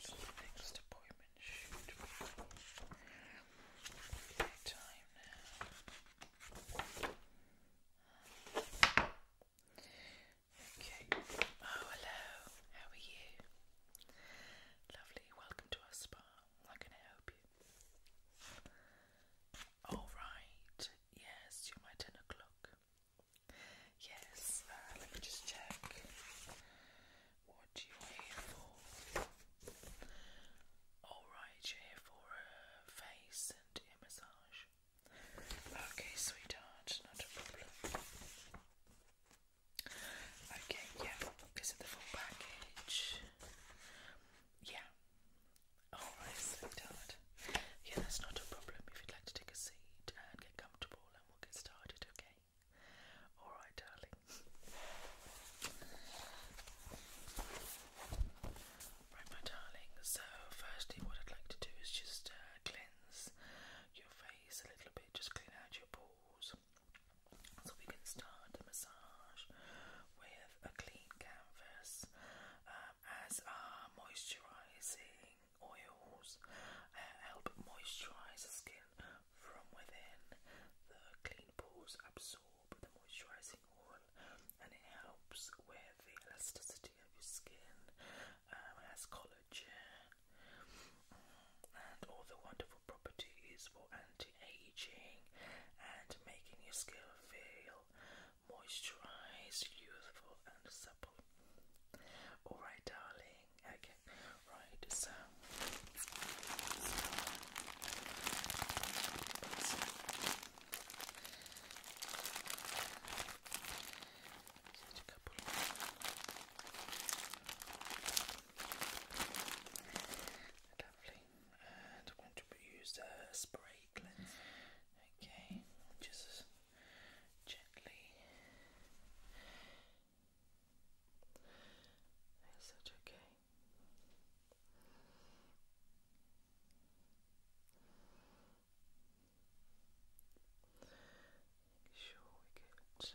So the next appointment time now. Okay. Oh, hello. How are you? Lovely. Welcome to our spa. How can I help you? All right. Yes, you're my 10 o'clock. Yes, uh, let me just check. What do you here for? Alright, you're here for a face and a massage. Okay, sweetheart, not a problem. Okay, yeah, this is the full package. Yeah. Oh, i so Yeah, that's not a problem. If you'd like to take a seat and get comfortable, and we'll get started, okay? Alright, darling. Right, my darling. So, firstly, what I'd like to do is just uh, cleanse your face a little bit, just clean out your pores. So, we can start the massage with a clean canvas, um, as are moisturizing oils, uh, help moisturize the skin from within. The clean pores absorb the moisturizing oil and it helps with the elasticity of your skin, um, as collagen. Mm, and all the wonderful properties for anti aging and making your skin feel moisturized, youthful and supple. Alright darling, okay, right, so, I'm going to use a spray cleanser. Okay, just gently. Is that okay? sure we get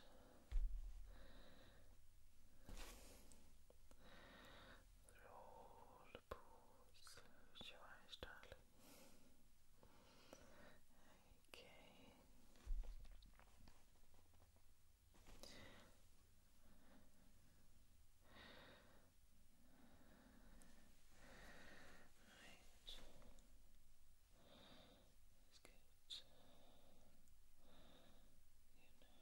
Roll the pools. Close your eyes, darling. Okay. Right. It's good. You know.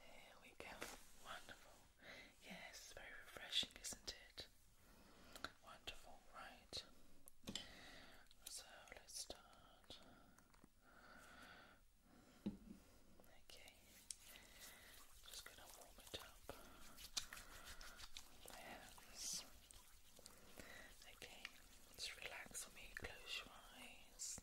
There we go. Wonderful. Yes, very refreshing, isn't it? Wonderful, right. So let's start. Okay. Just gonna warm it up. My hands. Okay, just relax for me, close your eyes.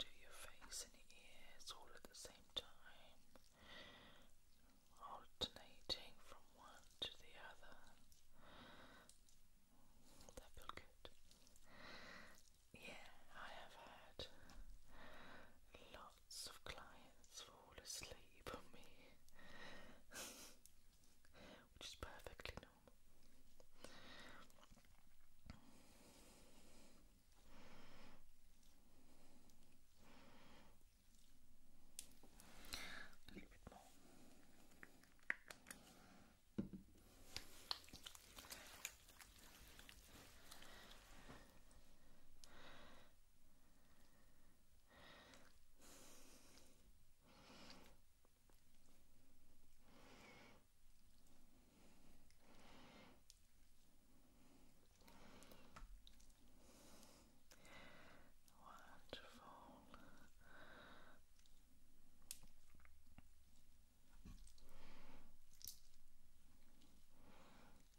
Do your face and your ears all at the same time, alternating from one to the other. That feel good. Yeah, I have had lots of clients fall asleep on me, which is perfectly normal. A little bit more. Wonderful. Good. Lovely. Lovely.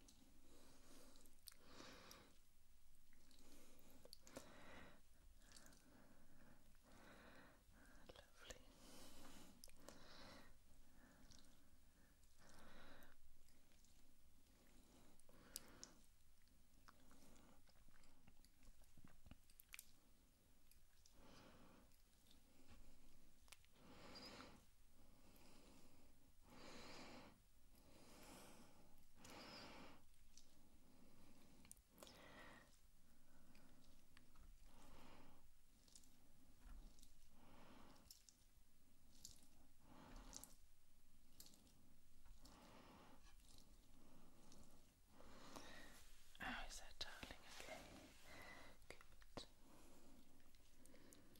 Oh, is that darling? Okay, good.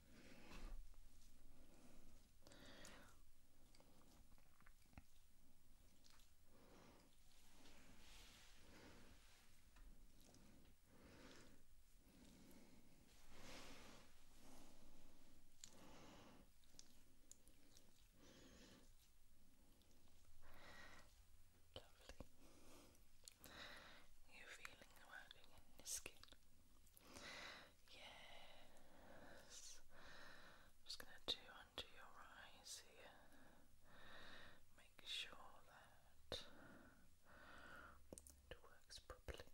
Lovely. You're feeling the working in the skin. Yes. just going to do under your eyes here. Make sure that it works properly.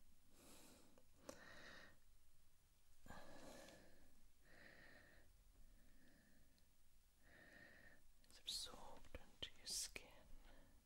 It's absorbed into your skin.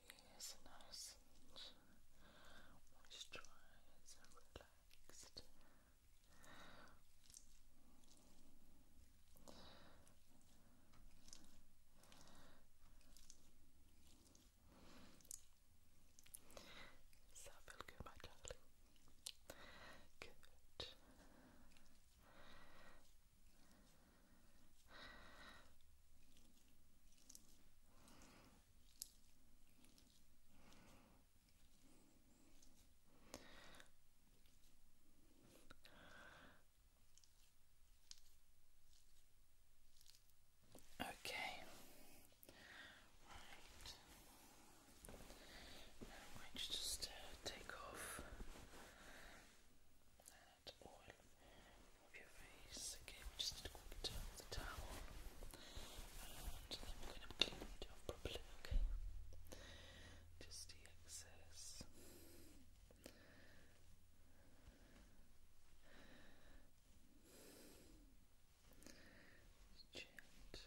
It is nice and moisturised and relaxed. Does that feel good, my darling? Good. Okay. Right. Now I just uh, take off that oil off your face. Okay, we just need to quickly turn off the towel. And then we're going to clean it off properly, okay? Just the excess gentle you.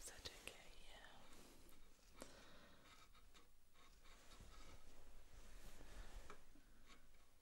Is that okay? Yeah.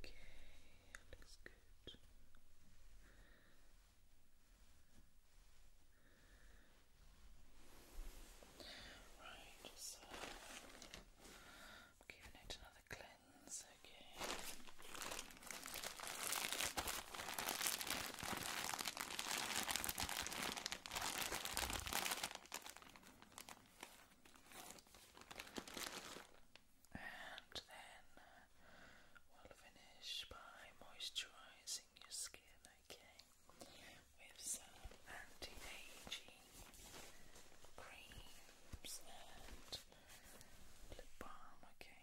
Okay, looks good. Right, so giving it another cleanse, okay. And then uh, we'll finish by moisturizing your skin, okay? With some anti aging creams and lip balm, okay?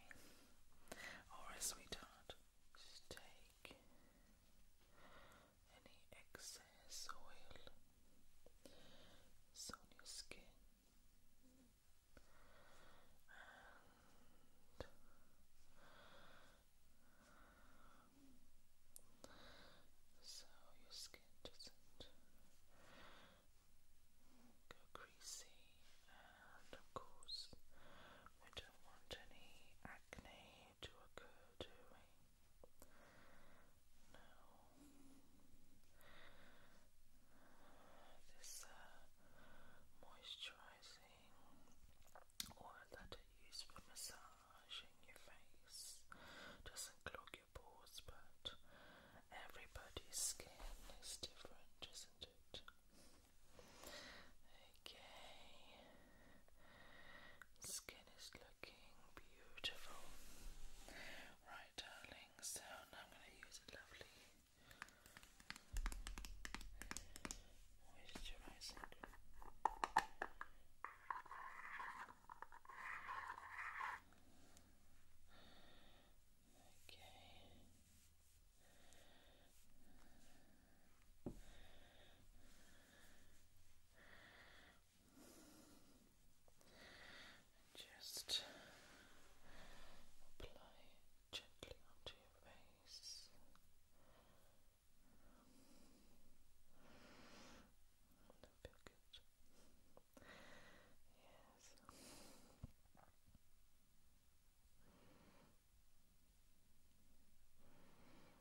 Alright, sweetheart, just take any excess oil on your skin so your skin doesn't go greasy and of course we don't want any acne to occur do we? This uh, moisturizing oil that I use for massaging your face doesn't clog your pores, but everybody's skin is different, isn't it? Okay. Skin is looking beautiful. Right, darling, so now I'm going to use a lovely moisturizing. Okay. And just apply it gently onto your face. That feel good. Yes.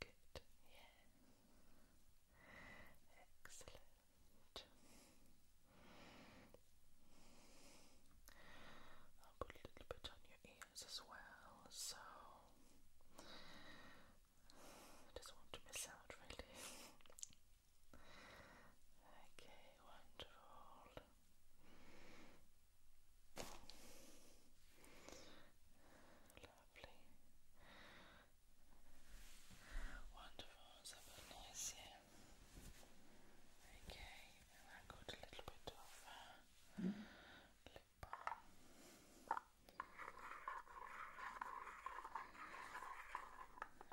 Good, yeah. Excellent. I'll put a little bit on your ears as well, so I just want to miss out really. okay, wonderful. Lovely. Wonderful, so nice, yeah. Okay, and I got a little bit of lip balm.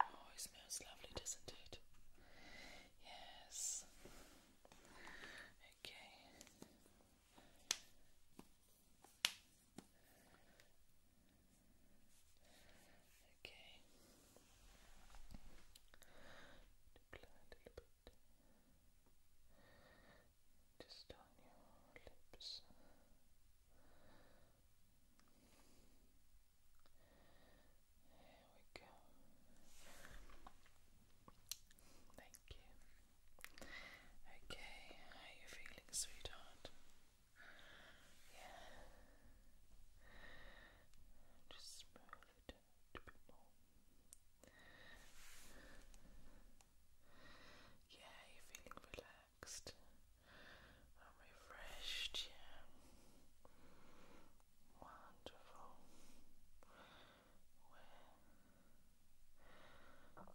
Oh, it smells lovely, doesn't it? Yes. Okay. Okay. Just on your lips. There we go. Thank you. Okay, how are you feeling, sweetheart? Yeah. Just smooth it a bit more. Yeah, you're feeling relaxed and refreshed, yeah. Wonderful. Where you have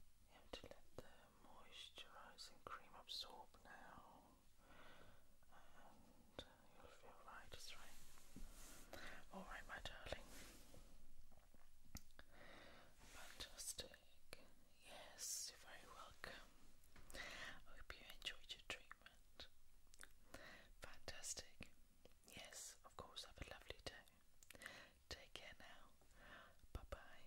moisturising cream absorb now, and you'll feel right, it's right. Alright, my darling. Fantastic. Yes, you're very welcome. I hope you enjoyed your treatment. Fantastic. Yes, of course, have a lovely day. Take care now. Bye bye.